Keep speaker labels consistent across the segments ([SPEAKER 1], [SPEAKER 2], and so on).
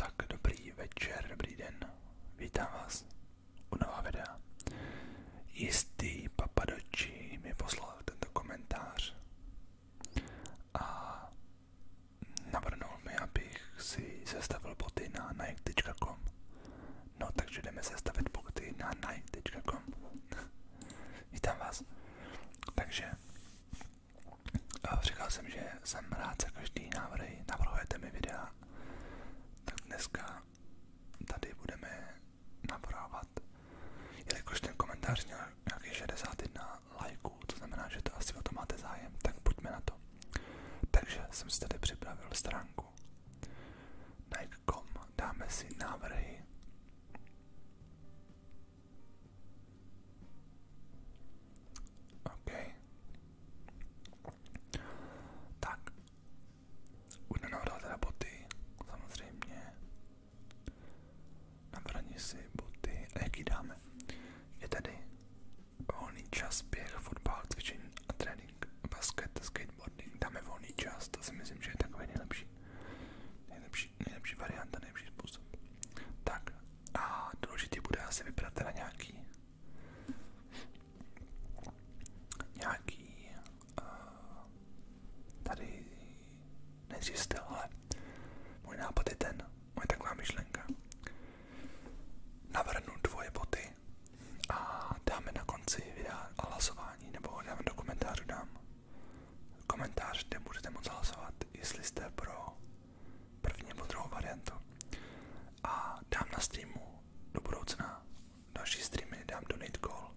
[SPEAKER 1] Tak dobrý večer, dobrý den. Vítám vás u nová videa. Jistý papadoči mi poslal tento komentář a navrhnul mi, abych si sestavil boty na nike.com. No takže jdeme sestavit boty na nike.com. Vítám vás. Takže Říkal jsem, že jsem rád za každý návrhy, navrhujete mi videa, tak dneska tady budeme navrhovat, jelikož ten komentář měl nějakých 61 lajků, to znamená, že to asi o to máte zájem, tak pojďme na to. Takže jsem si tady připravil stránku nike.com, dáme si návrhy OK. Tak. Budu navrhovat teda boty, samozřejmě. Navrhni si boty. A jaký dáme? Je tady volný čas, běh, fotbal, cvičení a trénink, basket, skateboarding. Dáme volný čas, to si myslím, že je takový nejlepší. Nejlepší nejlepší, nejlepší varianta, nejlepší způsob. Tak a důležitý bude asi vybrat teda nějaký nějaký eh, tady nejdřív ale můj nápad ten, moje taková myšlenka. Navrhnu dvoje boty a dáme na konci videa hlasování, nebo dáme do komentářů komentář, kde můžete moct hlasovat, jestli jste pro první nebo druhou variantu. A dám na streamu do budoucna další streamy, dám donate call,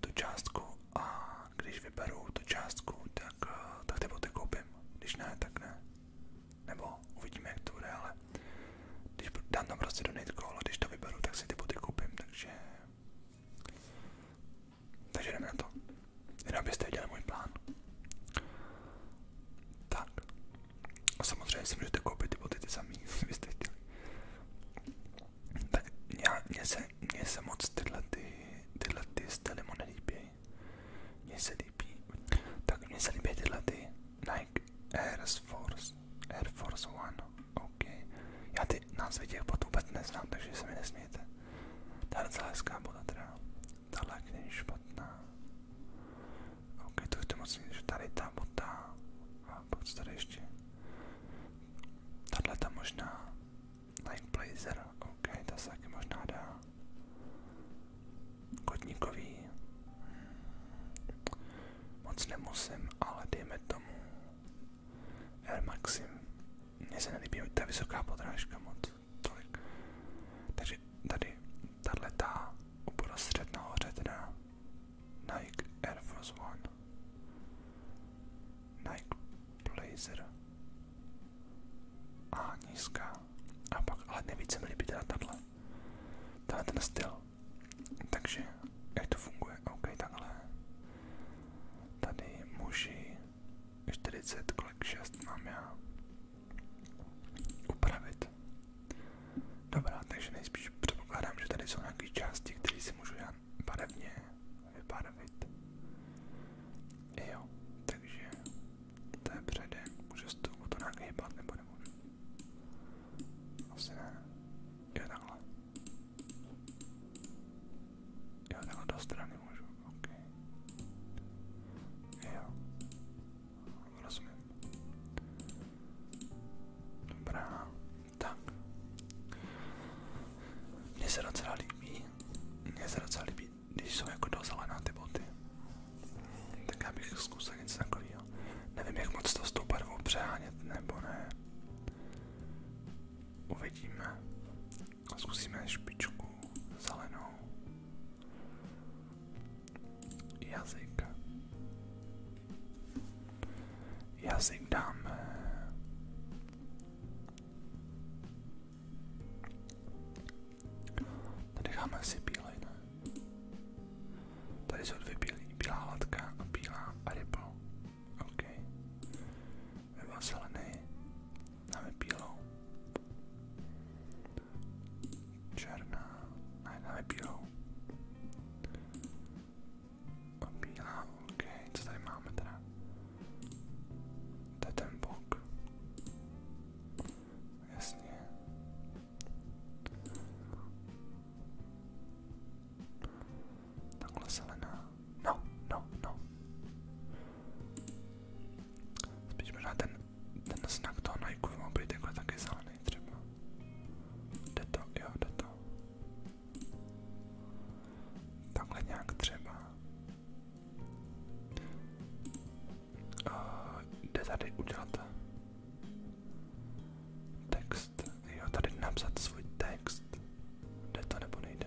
[SPEAKER 1] tu částku a když vyberu tu částku, tak, tak ty boty koupím. Když ne, tak ne. Nebo uvidíme, jak to bude, ale když dám tam prostě donate call a když to vyberu, tak si ty boty koupím, takže takže jdeme na to. Jenom abyste viděli můj plán. Tak. A samozřejmě si můžete koupit ty boty ty samý, byste chtěli. Tak mně se, mě se moc tyhle, ty, tyhle ty styly mu nelíbí. Mně se líbí. Tak mně se líbí tyhle ty Nike Air Force, Air Force One. OK. Já ty názvy těch botů vůbec neznám, takže se mi nesmějte. Ta docela hezká boda teda. Tahle není špatná. OK, to je to moc že tady ta možná. Like Blazer. OK, ta se možná dá. Kotníkový. Moc nemusím, ale dejme tomu. Air Maxim. Mně se nelíbí ta vysoká podrážka moc tolik. Takže tady tahle ta uprostřed nahoře teda Nike Air Force One, Nike Blazer a nízká. A pak, ale nejvíc se mi líbí teda tahle, tahle ten styl. Takže jak to funguje? OK, takhle. Tady muži 40, kolik 6 mám já upravit. Dobrá, takže nejspíš předpokládám, že tady jsou nějaké části, které si můžu já barevně vybarvit. Jo, takže to je předem, můžu s tou to nějak hýbat nebo nemůžu. Asi ne. Jo, takhle. Jo, takhle do strany můžu, ok. Jo. Rozumím. Dobrá, tak. Mně se docela líbí, mně se docela líbí, když jsou jako dozelená ty boty. Tak já bych zkusil něco takového. Nevím, jak moc to s tou barvou přehánět, nebo ne. Uvidíme. Zkusíme špičku zelenou. Jazyk. Jazyk dáme. Tady dáme si bílej, ne? Tady jsou dvě bílé, bílá latka a bílá a ryba. OK my má zelený, dáme černá, ne, dáme bílou, ok, co tady máme teda, ten bok, jasně, takhle zelená, no, no, no. Spíš možná ten, ten znak toho Nike by mohl být jako taky zelený třeba. Jde to, jo, jde to. Takhle nějak třeba. Uh, jde tady udělat text, jo, tady napsat svůj text. Jde to nebo nejde?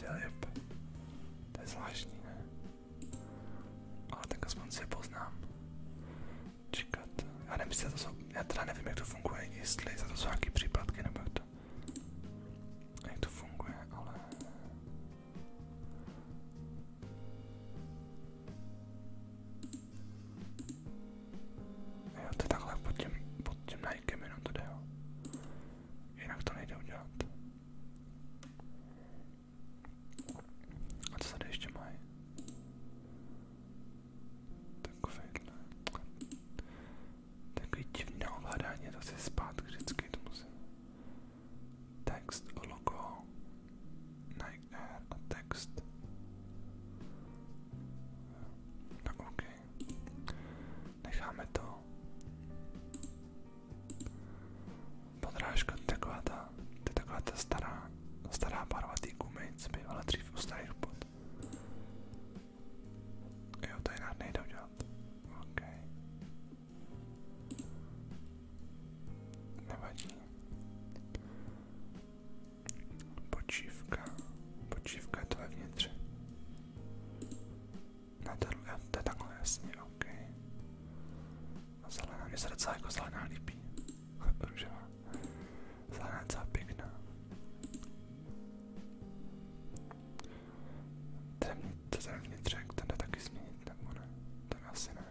[SPEAKER 1] Filip, to je zvláštní, ne? Ale tak aspoň poznám. Čekat, já nevím, jestli to jsou, já teda nevím, jak to funguje, jestli za to jsou nějaký příplatky nebo jak to, jak to funguje, ale... Jo, to je takhle pod tím, pod tím Nikem jenom to jde, jo. Jinak to nejde udělat. A co tady ještě mají? Takovejhle. Takový divný ovládání, zase zpátky vždycky to musím. Text, logo, Nike Air a text. No ok, necháme to. Podrážka, taková ta, to je taková ta stará, stará barva té gumy, co bývala dřív u starých pod. Jo, to jinak nejde udělat. OK. Nevadí. Počívka. Počívka je to vevnitř. Ne, to, to je takhle jasně, OK. A zelená, mně se docela jako zelená líbí. Růžová. Zahrádka pěkná. Ten, ten vnitřek, ten jde taky změnit, nebo ne? Ten asi ne.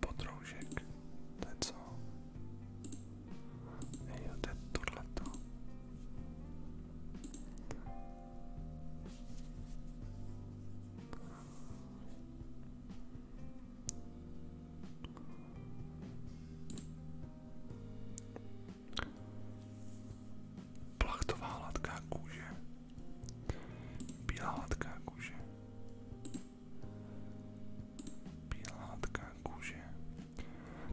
[SPEAKER 1] Potroužek, to je co? Jo, to je tohleto. Plachtová hladká kůže. Bílá hladká kůže. Bílá hladká kůže.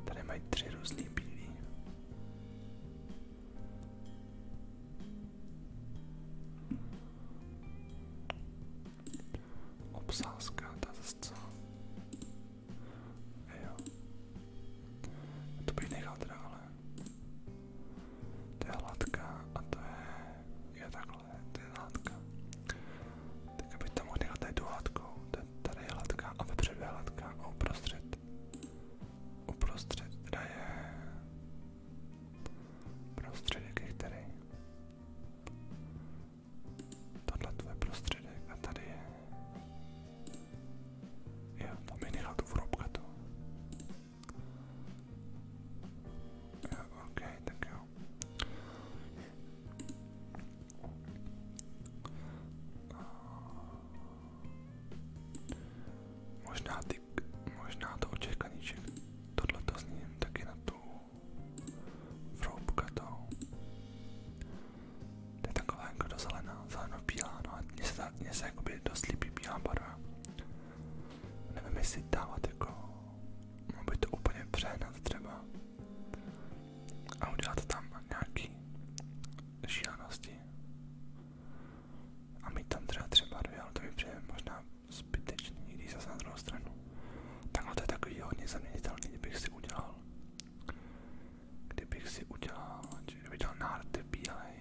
[SPEAKER 1] Tady mají tři různý bílý. Obsázka, das ist so. To bych nechal teda, ale... a to je... Je takhle, to Tak abych to mohl nechat, tady tu hladkou. Tady je a vepředu je hladká a uprostřed Uprostřed teda je prostředek je který. Tohle tvoje prostředek a tady je. Jo, tam mi nechal tu vrobkatu. Jo, ok, tak jo. Možná, ty, možná to očekaníček, tohle to zní taky na tu vroubkatou. To je taková jako do zelená, zeleno-bílá, no a mně se, mně se jakoby dost líbí bílá barva. Nevím, jestli dávat jako, mohl by to úplně přehnat třeba a udělat tam nějaký šílenosti a my tam třeba třeba dvě, ale to mi přijde možná zbytečný, když zase na druhou stranu. Takhle to je takový hodně zaměnitelný, kdybych si udělal, kdybych si udělal, kdybych dělal nárty bílej,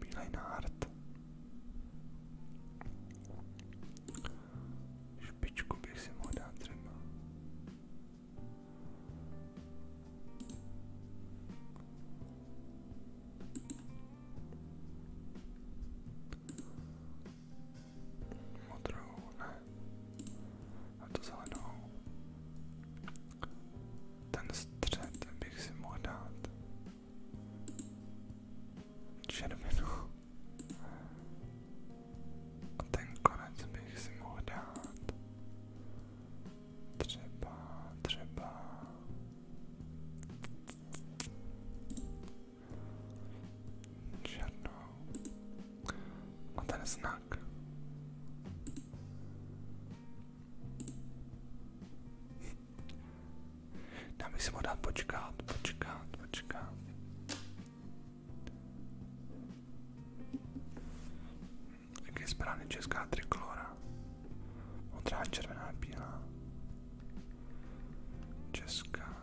[SPEAKER 1] bílej nárt, špičku bych si mohl dát třeba. Modrou, ne. A to zelenou. Ten střed bych si mohl dát. Červenou. A ten konec bych si mohl dát třeba, třeba černou a ten znak. Já bych si mohl dát počkat, počkat, počkat. Jak je správně česká trikolora? Modrá, červená, bílá. Česká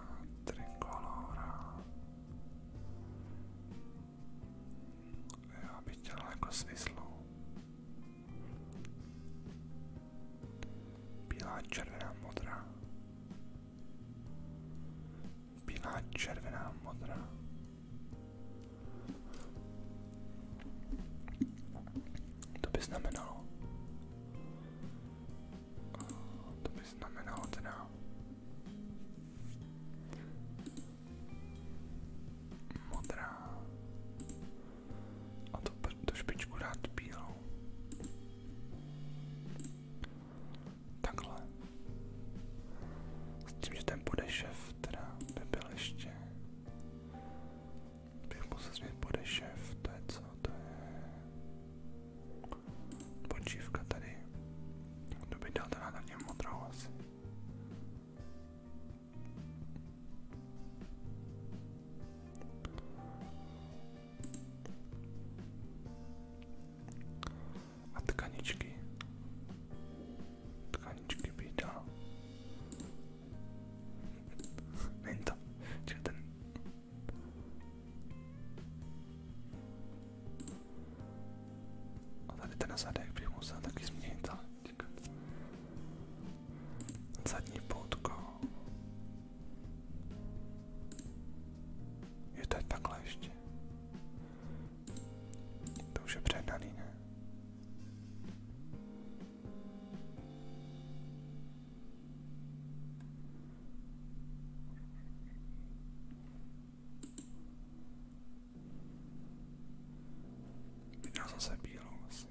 [SPEAKER 1] trikolora. Já bych dělal jako svislou. Bílá, červená, modrá. Bílá, červená, modrá. To by znamenalo. To by znamenalo teda. Modrá. A to tu špičku dát bílou. Takhle. S tím, že ten podešev šéf teda by byl ještě, bych musel změnit bude šéf, to je co, to je počívka tady, kdo by dal teda na něm modrou asi. A tkaničky tkaničky bída. Není to, ten... A tady ten zadek bych musel taky změnit, ale Zadní poutko. Je to takhle ještě. To už je předaný, ne? Viděl jsem se bílou asi.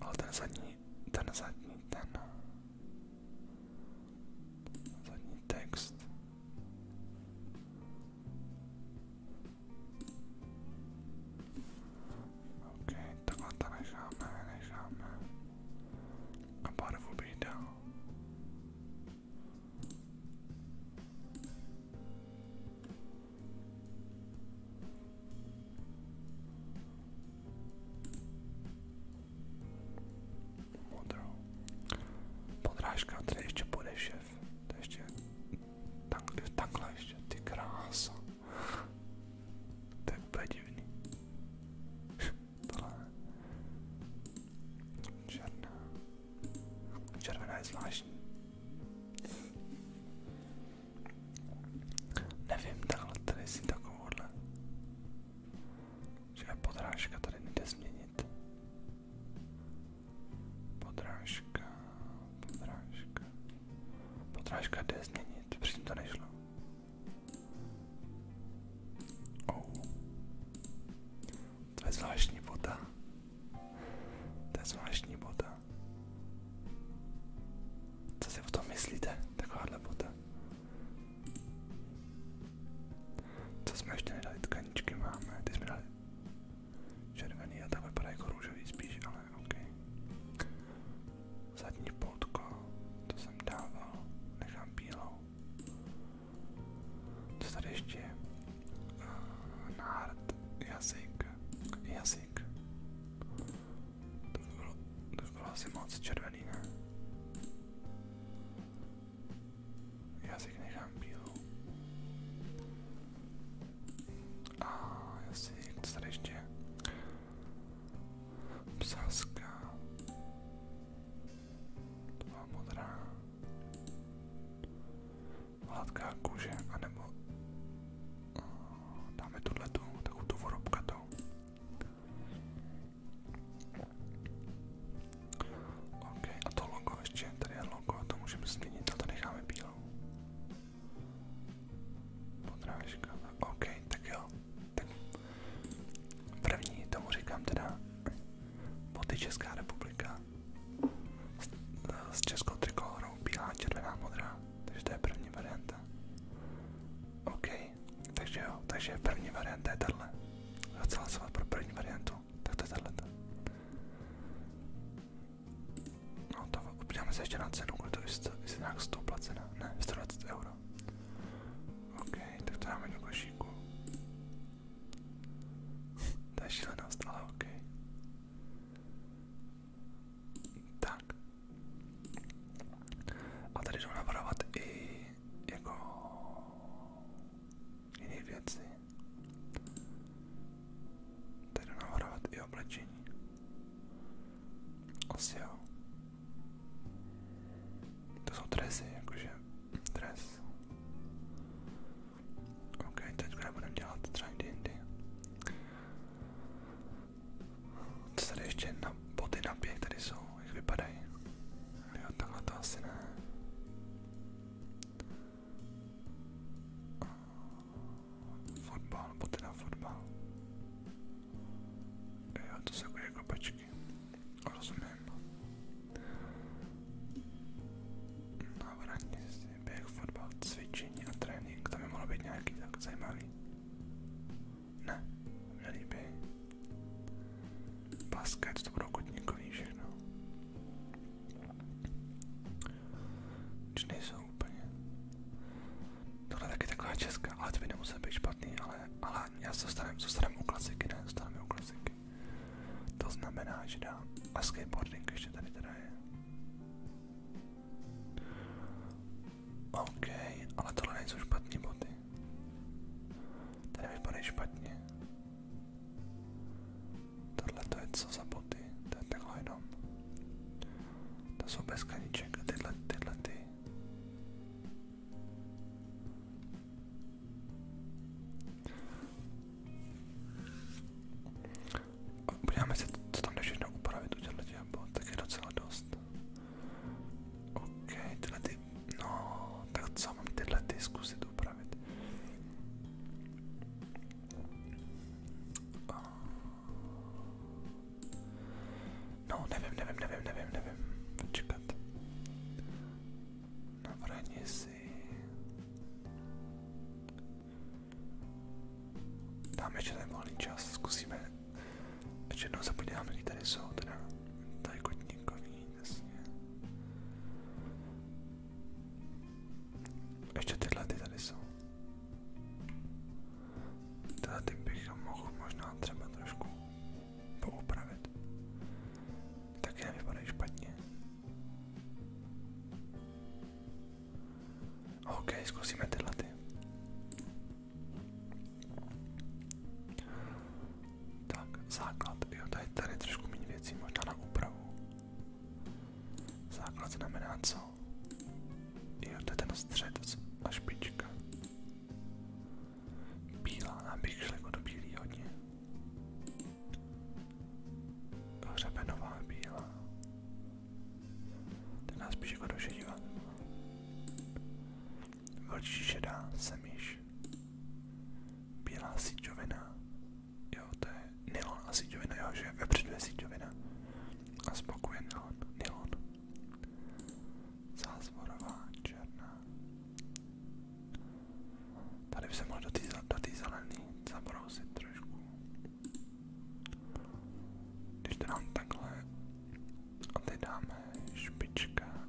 [SPEAKER 1] Ale ten zadní, ten zadní, ten zadní text. OK, takhle to necháme, necháme. A barvu bych dal modrou. Podrážka, tady ještě bude šéf. To ještě takhle, takhle ještě, ty krása. To je úplně divný. Tohle. Černá. Červená je zvláštní. Nevím, takhle tady si takovouhle že podrážka tady nejde změnit. Podrážka, podrážka, podrážka jde změnit, předtím to nešlo. Oh. To je zvláštní bota. To je zvláštní bota. Co si o tom myslíte? Takováhle bota. Co jsme ještě nedali? Tkaničky máme, ty jsme dali červený a tak vypadá jako růžový spíš, ale ok. Zadní poutko, to jsem dával, nechám bílou. Co tady ještě je? Eh, nárt, jazyk, jazyk. To by bylo, to by bylo asi moc červený, ne? Jazyk nechám bílou. A jestli někdo tady ještě psaska. To byla modrá. Hladká kůže, anebo eh, dáme tuhletu, takovou tu vorobkatou. OK, a to logo ještě, tady je logo, to můžeme změnit, a to necháme bílou. Podrážka, OK, tak jo. Tak první, tomu říkám teda, boty Česká republika s, s českou trikolorou, bílá, červená, modrá, takže to je první varianta. OK, takže jo, takže první varianta je tahle. Já chci hlasovat pro první variantu, tak to je tahleta. No to uděláme se ještě na cenu, Kdo to jestli nějak stoupla cena. Ne, 120 euro. OK, tak to dáme do košíku. to je šílenost, ale OK. Tak. A tady jdou navrhovat i jako jiné věci. Tady jdu navrhovat i oblečení. Asi jo. To jsou dresy, jakože dres. Ok, teďka budeme dělat třeba D&D. Co tady ještě na boty na běh tady jsou, jak vypadají. 良かったっすね Fotbal, nebo teda fotbal. Jo, to jsou jako, jako pečky. Rozumím. Na vraní si běh, fotbal, cvičení a trénink, to by mohlo být nějaký tak zajímavý. Ne, nelíbí. Basket, to budou kotníkový všechno. Už nejsou úplně. Tohle taky taková česká, ale to by nemusel být špatný, ale, ale já zůstanem, zůstanem u klasiky, ne, zůstanem u klasiky. To znamená, že dám skateboarding ještě tady teda OK, ale tohle nejsou špatný boty. Ten vypadá špatně. Tohle to je co za boty, to je takhle jenom. To jsou bez kaníček a tyhle, tyhle ty. Podíváme se, co tam jde všechno upravit u těchto bot, tak je docela dost. OK, tyhle ty No, tak co mám tyhle ty zkusit upravit? No, nevím, nevím, nevím, nevím, nevím. Počkat. Navrhni si. Dáme ještě ten volný čas, zkusíme. Ještě jednou se podíváme, kdy tady jsou, teda tady kotníkovi jasně. Ještě tyhle ty tady jsou. Tyhle ty bych mohl možná třeba trošku poupravit. Taky nevypadají špatně. OK, zkusíme tyhle ty. Tak, základ. Jo, tady, tady trošku méně věcí, možná na úpravu. Základ znamená co? Jo, to je ten střed a špička. Bílá, nám bych šel jako do bílý hodně. Hřebenová bílá. Ten nás spíš jako do šedivá. Vlčí šedá, semíš. Bílá síťovina, jo, to je nylon a síťovina, jo, že vepředu je síťovina a zboku je nylon, nylon. Zázvorová černá. Tady by se mohl do té do zelený zabrousit trošku. Když to dám takhle a teď dáme špička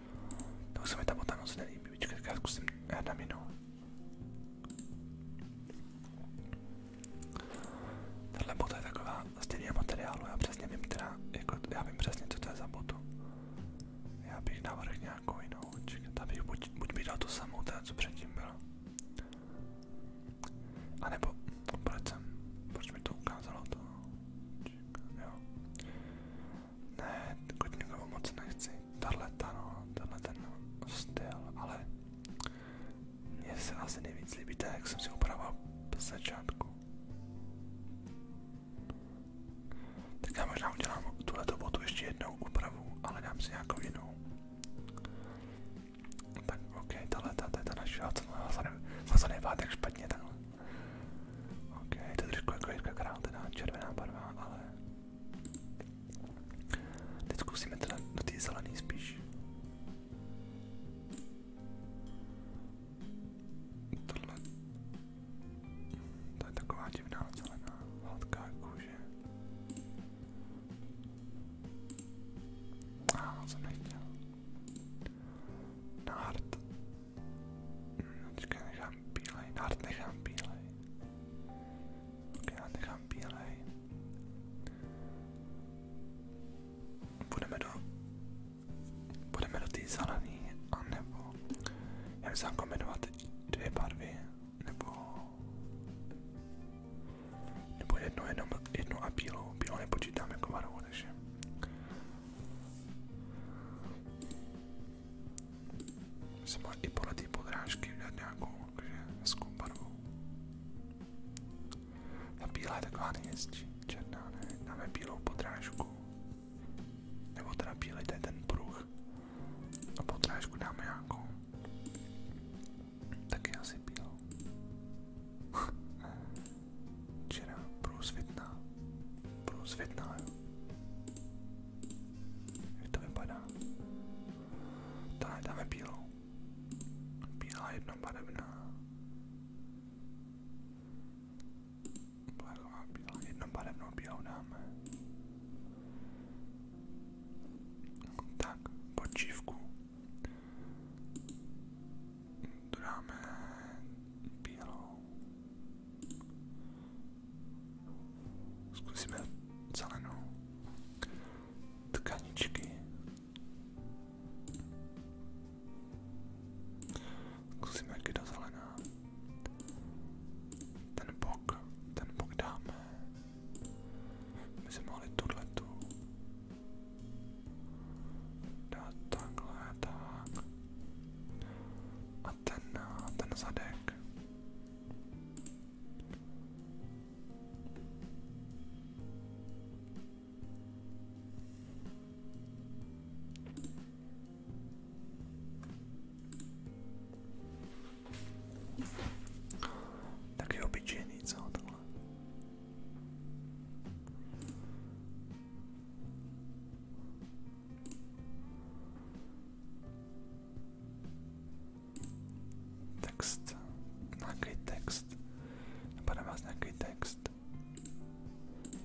[SPEAKER 1] Nebo se mi ta bota moc nelíbí, počkat, já zkusím dám jinou. Tahle bota je taková stejného materiálu, já přesně vím teda, jako, já vím přesně, co to je za botu. Já bych navrhl nějakou jinou, čekat, abych buď, buď bych dal tu samou, teda co předtím bylo. A nebo, proč jsem, proč mi to ukázalo to, čekat, jo. Ne, Kotníkovu moc nechci. Tahle ta no, ale mně se asi nejvíc líbí jak jsem si upravoval z začátku. Tak já možná udělám tuhleto botu ještě jednou úpravu, ale dám si nějakou jinou. Tak ok, tahle ta, to je ta tak špatně takhle. OK, to je trošku jako Jirka Král, teda červená barva, ale... Teď zkusíme teda do té zelený spíš. Tohle... To je taková divná zelená, hladká kůže. A ah, jsem nechtěl. Na hard. Počkej, nechám bílej, nard nechám bílej. Počkej, já nechám bílej. Budeme do... Budeme do té zelený, anebo... Já bych kombinovat dvě barvy, nebo... Nebo jednu, jednu, jednu a bílou. Bílou nepočítám jako barvu, takže... Jsem i podle té podrážky udělat nějakou hezkou barvu. Ta černá ne, dáme podrážku. Nebo teda bílej, ten pruh. A podrážku dáme nějakou. Taky asi bílou. Čerá, průsvitná. Průsvitná, jo. Jak to vypadá? Tohle dáme bílou. Bílá jednobarevná. Plechová bílá, jednobarevnou bílou dáme. Tak, počívku. Dáme bílou. Zkusíme zelenou tkaničky. Zkusíme kdy do zelená. Ten bok, ten bok dáme. My jsme mohli tuhletu dát takhle, tak. A ten, ten zadek. Taky obyčejný, co tohle? Text. Nějaký text. Napadá vás nějaký text.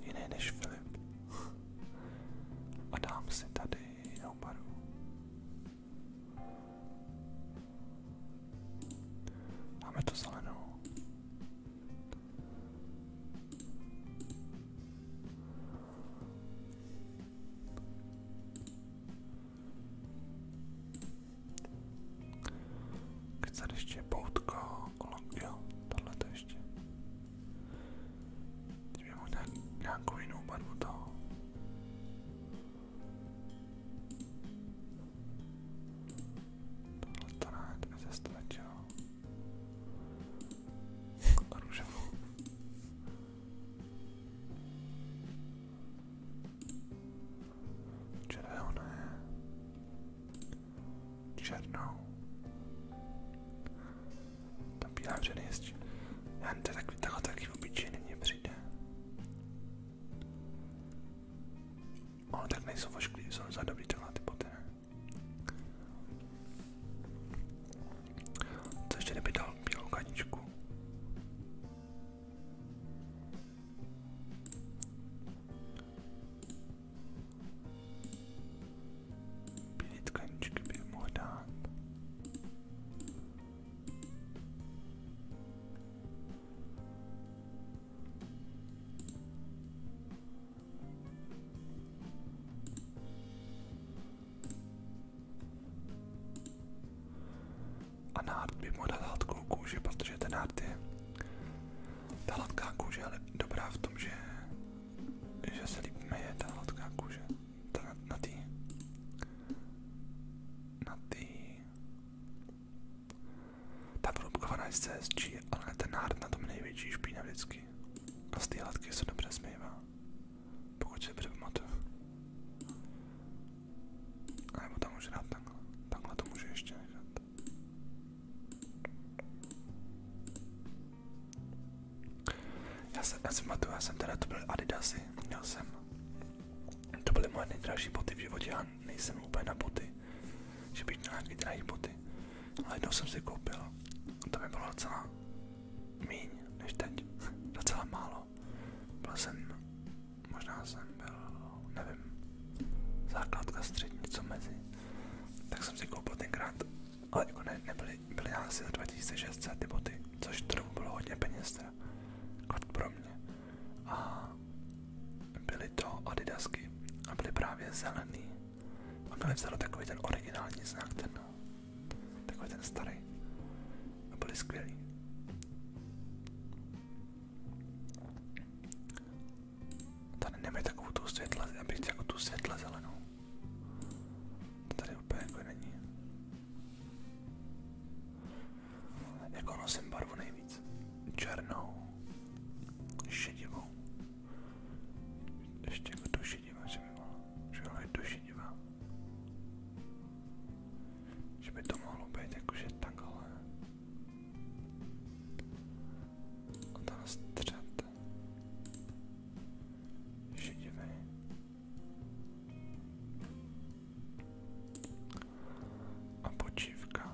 [SPEAKER 1] Jiný než Filip. A dám si tady jinou barvu. Máme to zelenou. Chce ještě poutko, long, jo, tohle to ještě. Kdyby možná nějakou jinou barvu toho. Tohle to ne, to by se stačilo a růžovou. Červené, černou. Ta bílá břeny ještě. Já to tak, takhle taky obyčejně mně tak nejsou vošklivý, jsou za dobrý tyhle ty boty, ne? Co ještě kdyby dal bílou kaničku? Bílý tkaničky bych mohl dát. A by mohl dát hladkou protože ten Ta hladká kůže ale dobrá v tom, že, že se líp je ta hladká kůže. Ta na, na Na tý... Ta průbkovaná je z CSG, ale ten nárt na tom největší špína vždycky. A z té hladky se dobře smývá. Pokud si dobře pamatuju. A nebo tam můžu dát takhle. Takhle to můžu ještě nechat. Já jsem, já jsem já jsem teda, to byly adidasy, měl jsem, to byly moje nejdražší boty v životě, já nejsem úplně na boty, že bych měl nějaký drahý boty, ale jednou jsem si koupil, to mi bylo docela míň než teď, docela málo. Byl jsem, možná jsem byl, nevím, základka střední, něco mezi. Tak jsem si koupil tenkrát, ale jako ne, nebyly, byly asi za 2600 ty boty, což to bylo hodně peněz teda, jako pro mě. A byly to adidasky a byly právě zelený a mi vzalo takový ten originální znak, ten, takový ten starý. A byli skvělí. Tady nemají takovou tu světle, abych jako tu světle zelenou. tady úplně jako není. Jako nosím barvu nejvíc. Černou. Šedivou. Ještě jako tu šedivou, že že ale je dušinivá. Že by to mohlo být jakože takhle. A ten střed. Šedivý. A počívka.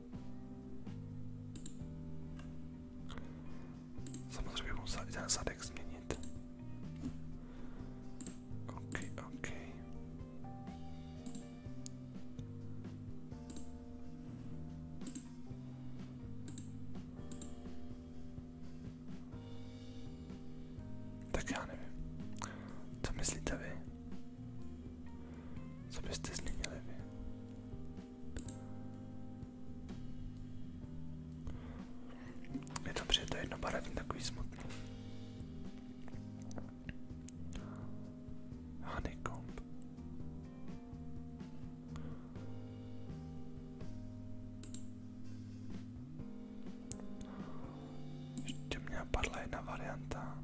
[SPEAKER 1] Samozřejmě musel i ten zadek změnit. OK, OK. Tak já nevím. Co myslíte vy? Co byste změnili vy? Je dobře, je to jednobarevný, takový smutný. Honeycomb. Ještě mě napadla jedna varianta.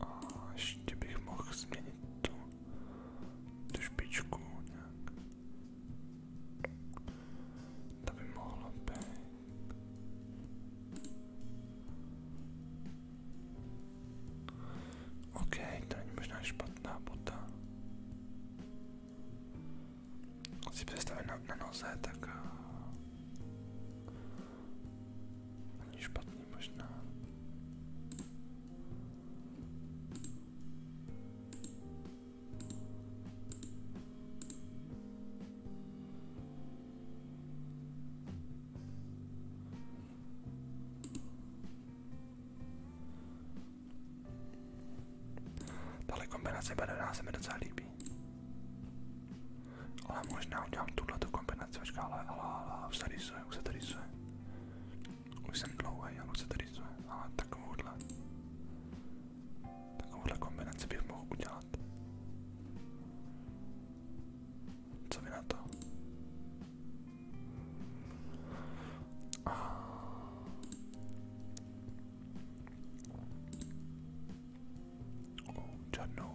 [SPEAKER 1] A ještě bych mohl změnit tu, tu špičku nějak. To by mohlo být. OK, to není možná špatná bota. Když si představím na, na noze, tak eh, Není špatný možná. Tahle kombinace badaná se mi docela líbí. Ale možná udělám tuhle tu kombinaci, počká, ale, ale, ale, už se rysuje, už se to rysuje. Už jsem dlouhý, ale už se to rysuje, ale takovouhle. Takovouhle kombinaci bych mohl udělat. Co vy na to? Ah. Oh,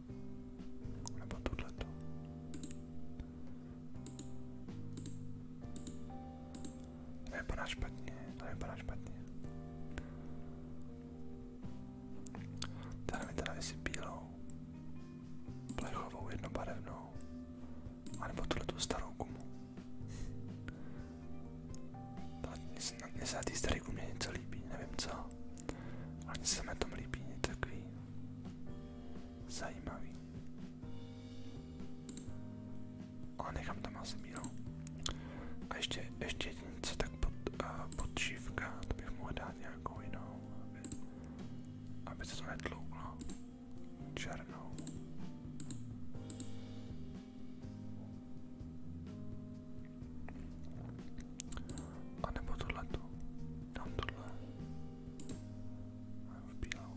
[SPEAKER 1] Nebo tohleto. Nevypadá špatně, to vypadá špatně. Tady mi teda jestli bílou, plechovou, jednobarevnou, anebo tuhletu starou gumu. Mně se na té staré gumě něco líbí, nevím co. Ale mně se mi tom líbí, něco takový zajímavý. Ale nechám tam asi bílou. A ještě, ještě něco tak pod, uh, šivka, to bych mohl dát nějakou jinou, aby, aby se to netlouklo. Černou. A nebo tohleto. Dám v bílou.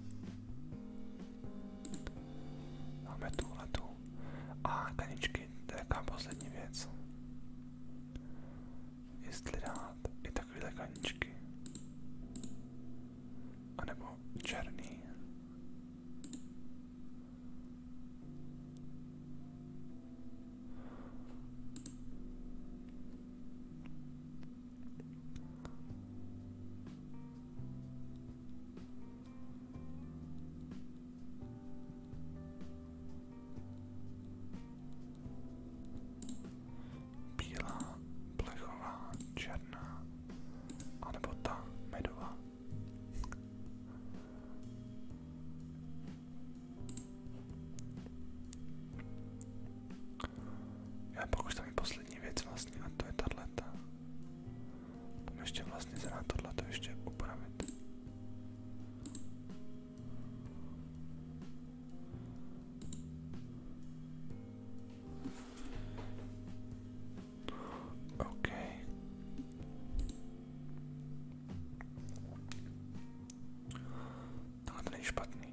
[SPEAKER 1] Máme tu letu. A kaničky, to je jaká poslední věc. Jestli dát i takovéhle kaničky. A nebo černý. Bílá, plechová, černá, anebo ta medová. Já pak už poslední věc vlastně a to je tato. Tam ještě vlastně se dá tohleto ještě upravit. OK. Tohle to není špatný.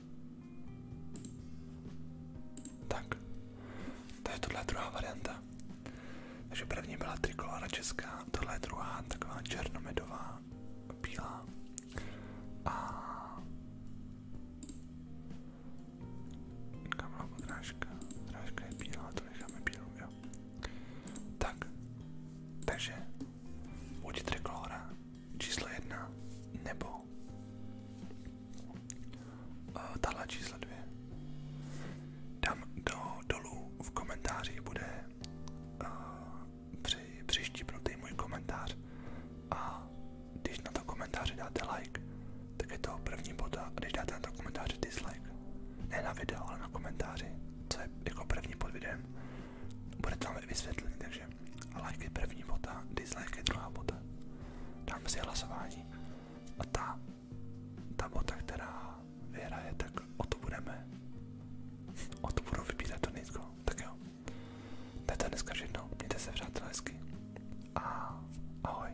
[SPEAKER 1] Tak, to je tohle druhá varianta. Takže první byla trikolora česká, tohle je druhá, taková černomedová, bílá. A Kamla podrážka, podrážka je bílá, to necháme bílou, jo. Tak, takže buď trikolora číslo jedna, nebo Eh, tahle číslo dvě. Tam do, dolů v komentářích bude eh, při, přištípnutý můj komentář a když na to komentáři dáte like, tak je to první bod a když dáte na to komentáři dislike, ne na video, ale na komentáři, co je jako první pod videem, bude to vysvětlený, takže like je první bota, dislike je druhá bota. Dáme si hlasování. A ta, ta bota, která vyhraje, tak o to budeme. O to budou vybírat to nízko. Tak jo. To je to dneska všechno. Mějte se přátelé hezky. A ahoj.